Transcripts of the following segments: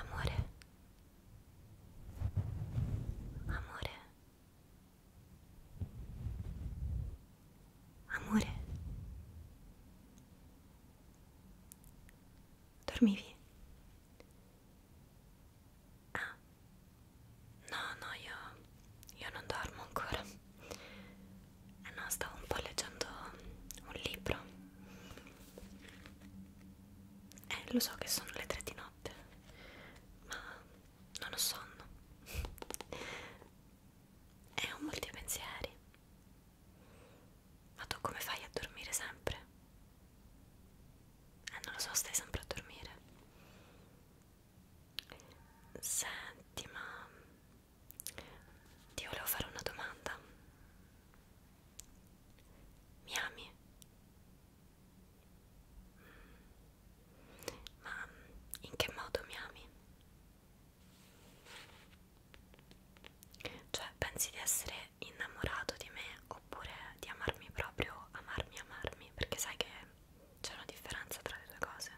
Amore, amore, amore, dormivi? Ah, no, no, io, io non dormo ancora. Eh no, stavo un po' leggendo un libro. Eh, lo so che sono le tre di notte, ma non ho sonno. E ho molti pensieri. Ma tu come fai a dormire sempre? Eh, non lo so, stai sempre a dormire. Senti, ma ti volevo fare una domanda. Mi ami? Mm. Ma in che modo mi ami? Cioè, pensi di essere innamorato di me oppure di amarmi proprio, amarmi, amarmi? Perché sai che c'è una differenza tra le due cose?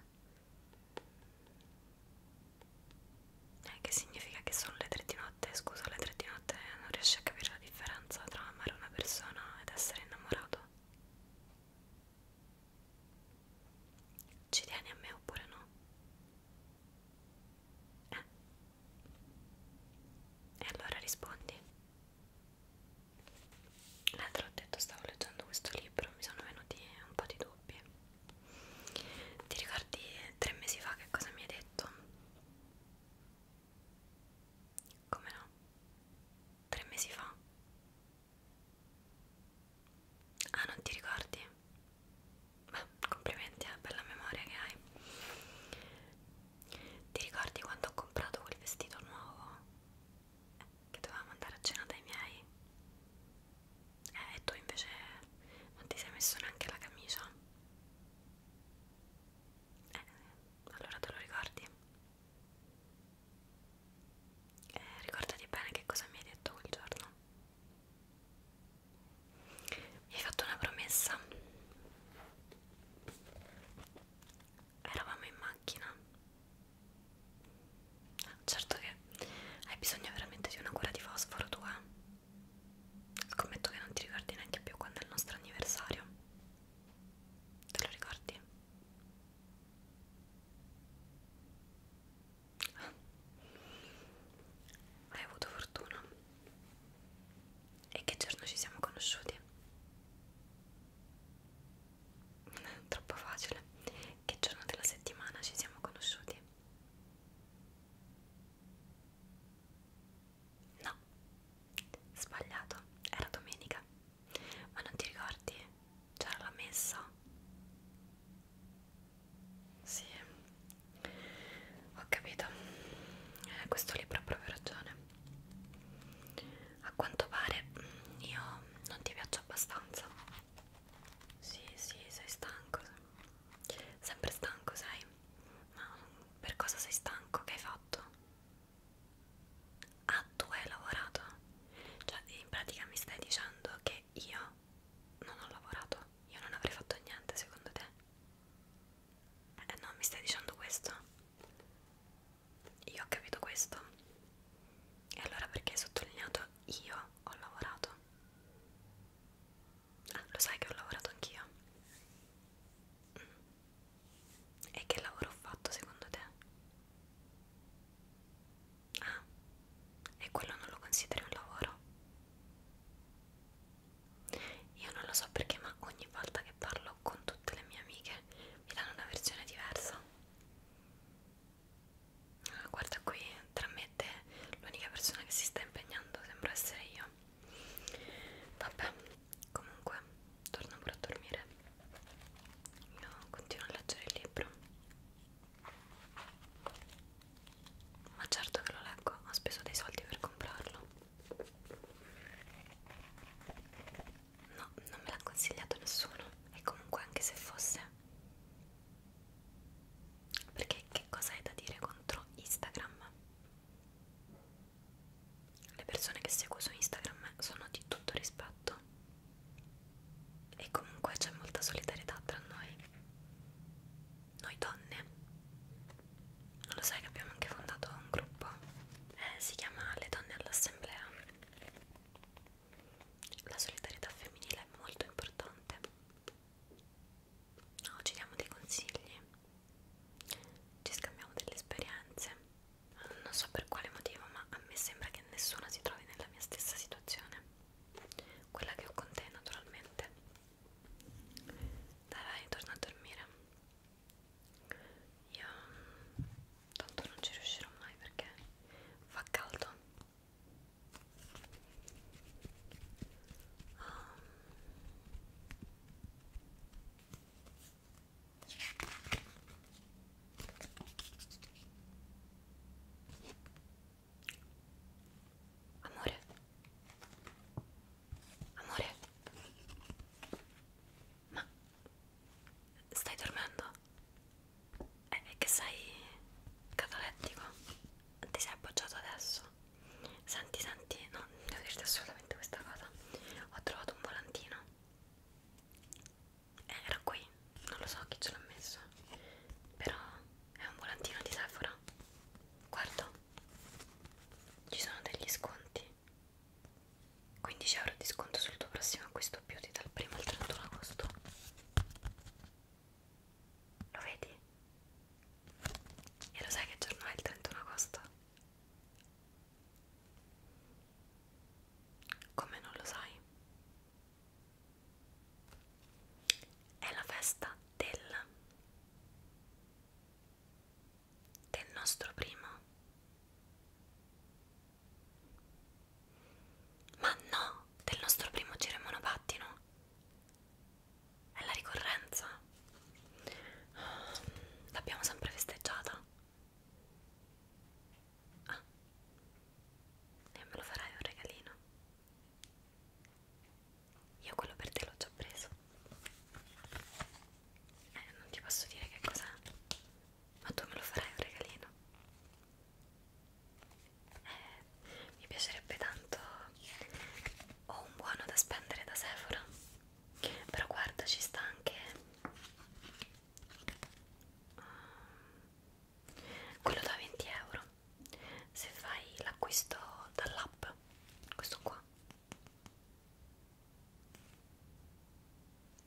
Eh, che significa che sono le tre di notte? Scusa, le tre di notte non riesci a capire la differenza tra amare una persona ed essere innamorato? Ci tieni a me oppure no? Eh? E allora rispondi l'altro ho detto stavo leggendo questo libro mi sono venuti un po' di dubbi ti ricordi tre mesi fa che cosa mi hai detto? come no? tre mesi fa? ah non ti ricordi? beh complimenti eh, per la memoria che hai ti ricordi quando ho comprato quel vestito nuovo? che dovevamo andare a cena dai miei eh, e tu invece non ti sei messo neanche la camicia eh, allora te lo ricordi eh, ricordati bene che cosa mi hai detto quel giorno mi hai fatto una promessa eravamo in macchina certo che hai bisogno veramente di una cura di fosforo tu eh scommetto che non ti ricordi neanche più quando è il nostro anniversario te lo ricordi? Ah. hai avuto fortuna e che giorno ci siamo conosciuti? troppo facile che giorno della settimana ci siamo conosciuti? no sbagliato era domenica ma non ti ricordi? c'era la messa? sì ho capito eh, questo libro ha proprio ragione a quanto pare mm, io non ti piaccio abbastanza sì sì sei stanco sempre stanco sei ma per cosa sei stanco che hai fatto ah tu hai lavorato cioè in pratica mi stai dicendo che io non ho lavorato io non avrei fatto niente secondo te eh no mi stai dicendo questo io ho capito questo. E allora perché hai sottolineato io ho lavorato? Ah, lo sai che ho lavorato anch'io. Mm. E che lavoro ho fatto secondo te? Ah, e quello non lo consideri un lavoro? Io non lo so perché, ma ogni volta che parlo con tutte le mie amiche mi danno una versione diversa. Ah, guarda qui, tra me e te l'unica persona che si sta impegnando sembra essere io. Vabbè, comunque, torno pure a dormire. Io continuo a leggere il libro. Ma certo che lo leggo, ho speso dei soldi per comprarlo. No, non me l'ha consigliato nessuno e comunque anche se fosse perché che cosa hai da dire contro Instagram? Le persone che seguo su Instagram sono di tutto rispetto e comunque c'è molta solidarietà tra noi, noi donne. Non lo sai che abbiamo anche fondato un gruppo, eh, si chiama Le donne all'assemblea la solidarietà femminile è molto importante. No, ci diamo dei consigli, ci scambiamo delle esperienze. Non so per quale motivo, ma a me sembra che nessuno si trovi nella mia stessa situazione. Quella che ho con te, naturalmente. Dai, vai, torna a dormire. Io mm, tanto non ci riuscirò mai perché fa caldo. Oh. Amore, amore, ma stai dormendo? È che sei catalettico? Ti sei appoggiato adesso? Senti, senti, no, devo dirti assolutamente questa cosa. Ho trovato un volantino. Eh, era qui, non lo so chi ce l'ha messo. Però è un volantino di Sephora. Guarda, ci sono degli sconti 15 euro di sconto sul tuo prossimo acquisto beauty dal 1 al 31 agosto lo vedi? e lo sai che giorno è il 31 agosto? come non lo sai? è la festa del del nostro primo ma no, del nostro primo giro monopattino. È la ricorrenza. L'abbiamo sempre festeggiata. Ah. E me lo farai un regalino. Io quello per te l'ho già preso. Eh, non ti posso dire che cos'è. Ma tu me lo farai un regalino? Eh, mi piacerebbe tanto. Ho un buono da spendere da Sephora. Però guarda, ci sta anche um, quello da 20 euro. Se fai l'acquisto dall'app, questo qua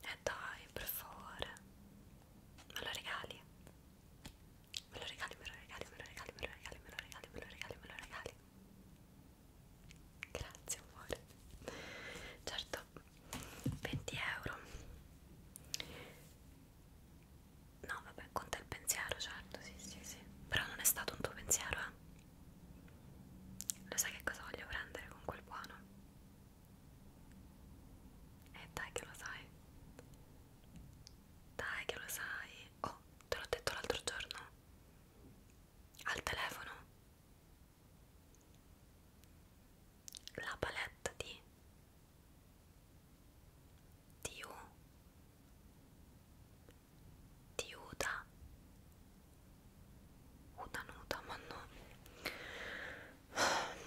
eh dai, per favore. Me lo regali? Me lo regali, me lo regali, me lo regali, me lo regali, me lo regali, me lo regali, me lo regali. Grazie amore. Certo, 20 euro. No, vabbè, conta il pensiero, certo, sì, sì, sì. Però non è stato un tuo pensiero, eh? Lo sai che cosa voglio prendere con quel buono? E eh, dai che lo sai. Dai che lo sai. Oh, te l'ho detto l'altro giorno. Al telefono. La palette di Tiu Tiuta una nuda ma no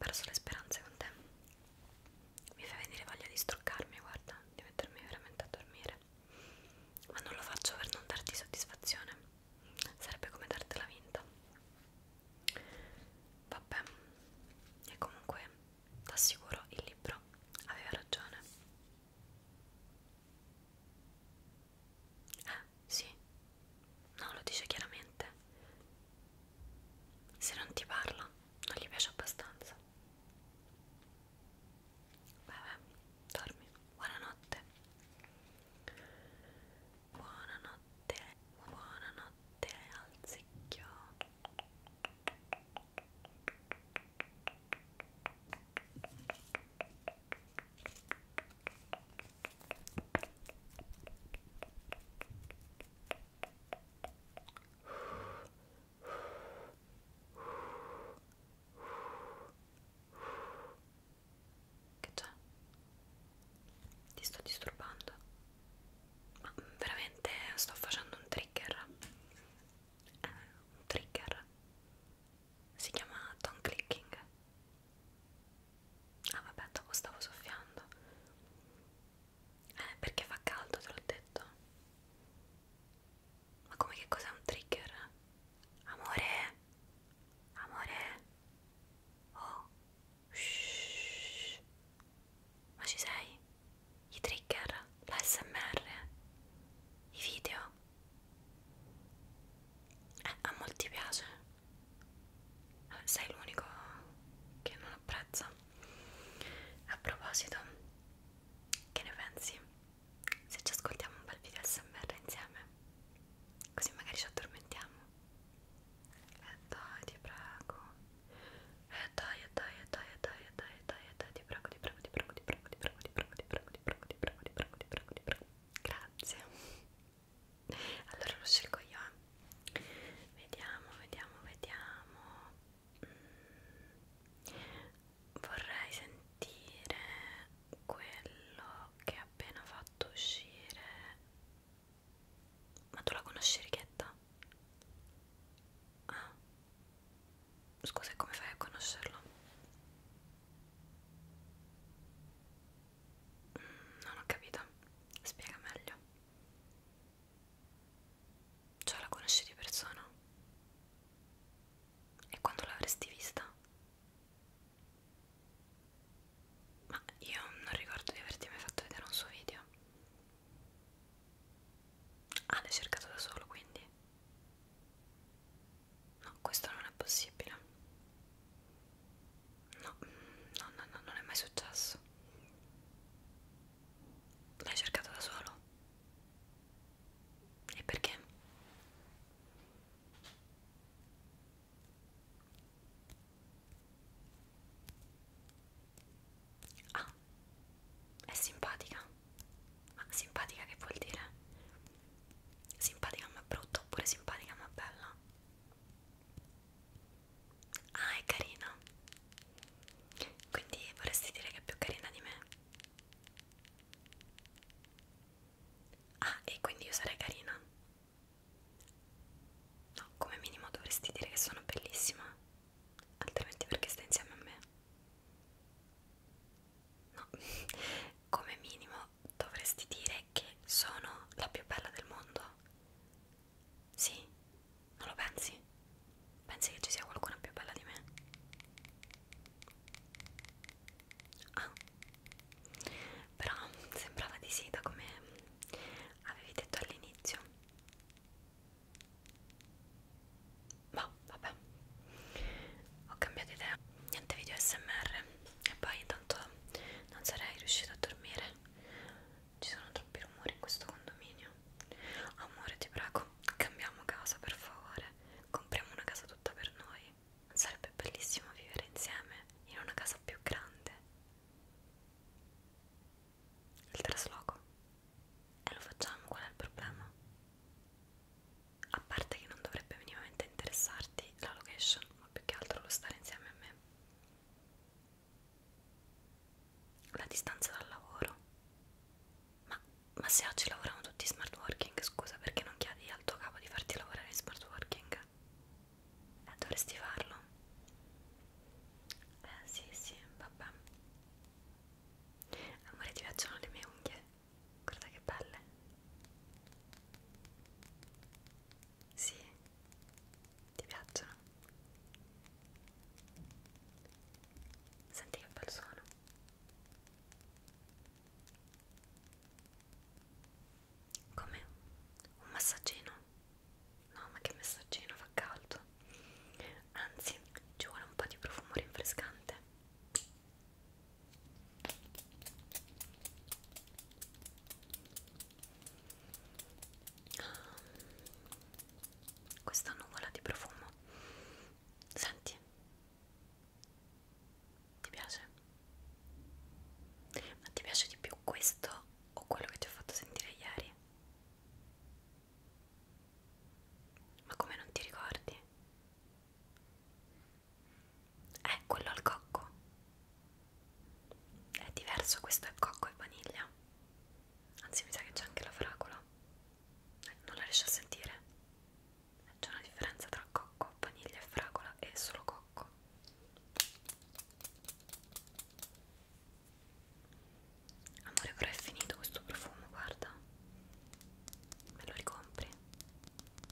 perso le speranze con te mi fa venire voglia di struccarmi guarda di mettermi veramente a dormire ma non lo faccio per non darti soddisfazione sarebbe come dartela vinta vabbè e comunque t'assicuro il libro aveva ragione eh, sì. No, lo dice chiaramente. Se non ti parla, non gli piace abbastanza. Vabbè, dormi. Buonanotte. Buonanotte. Buonanotte al zecchio. Che c'è? Ti sto disturbando? Ma veramente sto facendo un trigger? Eh, un trigger? Si chiama tongue clicking? Ah vabbè, dopo stavo soffiando. Eh, perché fa caldo, te l'ho detto. Ma come che cos'è un trigger? Amore? Amore? Oh? Shhh. Ma ci sei? I trigger? La SMR? I video? Eh, a molti piace sei l'unico che non apprezza. A proposito, che ne pensi? Se ci ascoltiamo un bel video SMR insieme, così magari ci addormentiamo. E eh dai, ti prego. E eh dai, e eh dai, e eh dai, e eh dai, e eh dai, eh dai, eh dai, ti prego, ti prego, ti prego, ti prego, ti prego, ti prego, ti prego, ti prego, ti prego, ti prego, ti prego, ti prego, ti prego, ti prego. Grazie allora lo scelgo io eh. vediamo vediamo vediamo mm. vorrei sentire quello che ha appena fatto uscire ma tu la conosci Righetta? ah scusa come fai a conoscerlo non ho capito, spiega meglio. Cioè la conosci di persona? E quando l'avresti vista? Ma io non ricordo di averti mai fatto vedere un suo video. Ah, l'hai cercato da solo quindi? No, questo non è possibile. No, no, no, no, non è mai successo. L'hai cercata da solo? E perché? Ah, è simpatica. Ma simpatica che vuol dire? Simpatica ma brutta oppure simpatica ma bella? Ah, è carina. Quindi vorresti dire che è più carina di me? Ah, e quindi io sarei carina? No, come minimo dovresti dire che sono bellissima, altrimenti perché stai insieme a me? No, come minimo però dovresti dire che sono la più bella del mondo. Sì, non lo pensi? Pensi che ci sia qualcuna più bella di me? Ah, però sembrava di sì da come avevi detto all'inizio. Ma boh, vabbè, ho cambiato idea. Niente video smr e poi intanto non sarei riuscita a dormire ci sono troppi rumori in questo condominio amore ti prego cambiamo casa per favore compriamo una casa tutta per noi sarebbe bellissimo vivere insieme in una casa più grande il trasloco e lo facciamo qual è il problema? a parte che non dovrebbe minimamente interessarti la location ma più che altro lo stare insieme a me la distanza dal lavoro ma, ma se oggi lavorano tutti in smart working scusa perché non chiedi al tuo capo di farti lavorare in smart working eh, dovresti farlo eh sì sì vabbè amore ti piacciono le mie unghie guarda che belle sì, ti piacciono? Senti che bel suono. Come? Un massaggino? No, ma che massaggino, fa caldo. Anzi, ci vuole un po' di profumo rinfrescante questa nuvola di profumo senti ti piace ma ti piace di più questo o quello che ti ho fatto sentire ieri ma come non ti ricordi è quello al cocco è diverso questo è cocco e vaniglia anzi mi sa che c'è anche la fragola eh, non la riesci a sentire c'è una differenza tra cocco, vaniglia e fragola e solo cocco amore però è finito questo profumo guarda me lo ricompri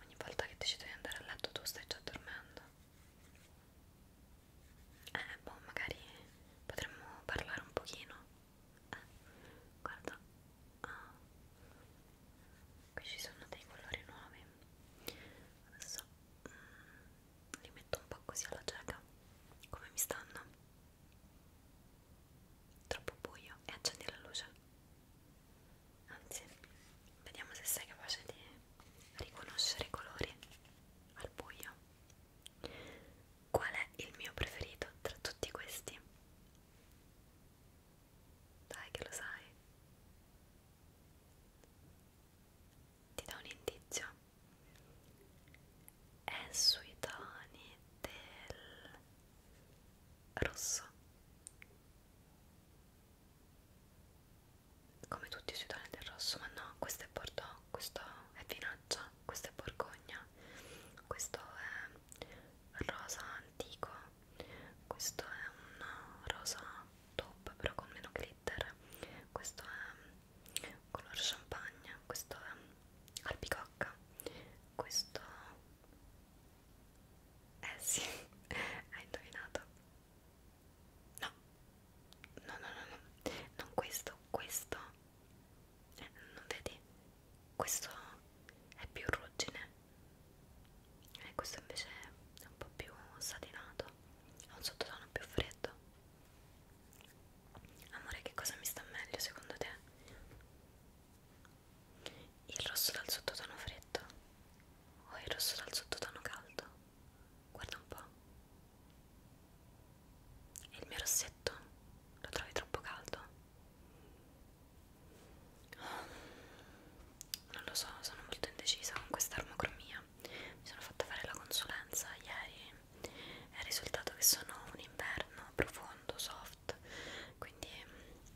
ogni volta che decido di andare a letto tu stai già dormendo eh boh magari potremmo parlare un pochino eh guarda ah. qui ci sono dei colori nuovi adesso mm, li metto un po' così alla cieca come mi stanno troppo buio e accendi la luce anzi vediamo se sei capace di riconoscere i colori al buio qual è il mio preferito tra tutti questi? dai che lo sai ti do un indizio è sui toni del rosso come tutti sui toni del rosso ma no questo è bordeaux questo è vinaccia questo è borgogna questo è rosa antico questo è un rosa top però con meno glitter questo è color champagne questo è albicocca questo eh sì, hai indovinato. No, no, no, no, no, non questo, questo. Eh, non vedi? Questo è più ruggine. E eh, questo invece è un po' più satinato. Ha un sottotono più freddo. Amore, che cosa mi sta meglio secondo te? Il rosso dal sottotono freddo o oh, il rosso dal sottotono caldo? Guarda un po'. E il mio rossetto? Lo trovi troppo caldo? Oh, non lo so, sono molto indecisa con questa armocromia. Mi sono fatta fare la consulenza ieri e il risultato che sono un inverno profondo, soft, quindi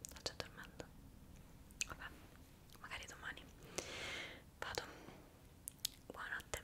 Sto già dormendo. Vabbè, magari domani. Vado. Buonanotte.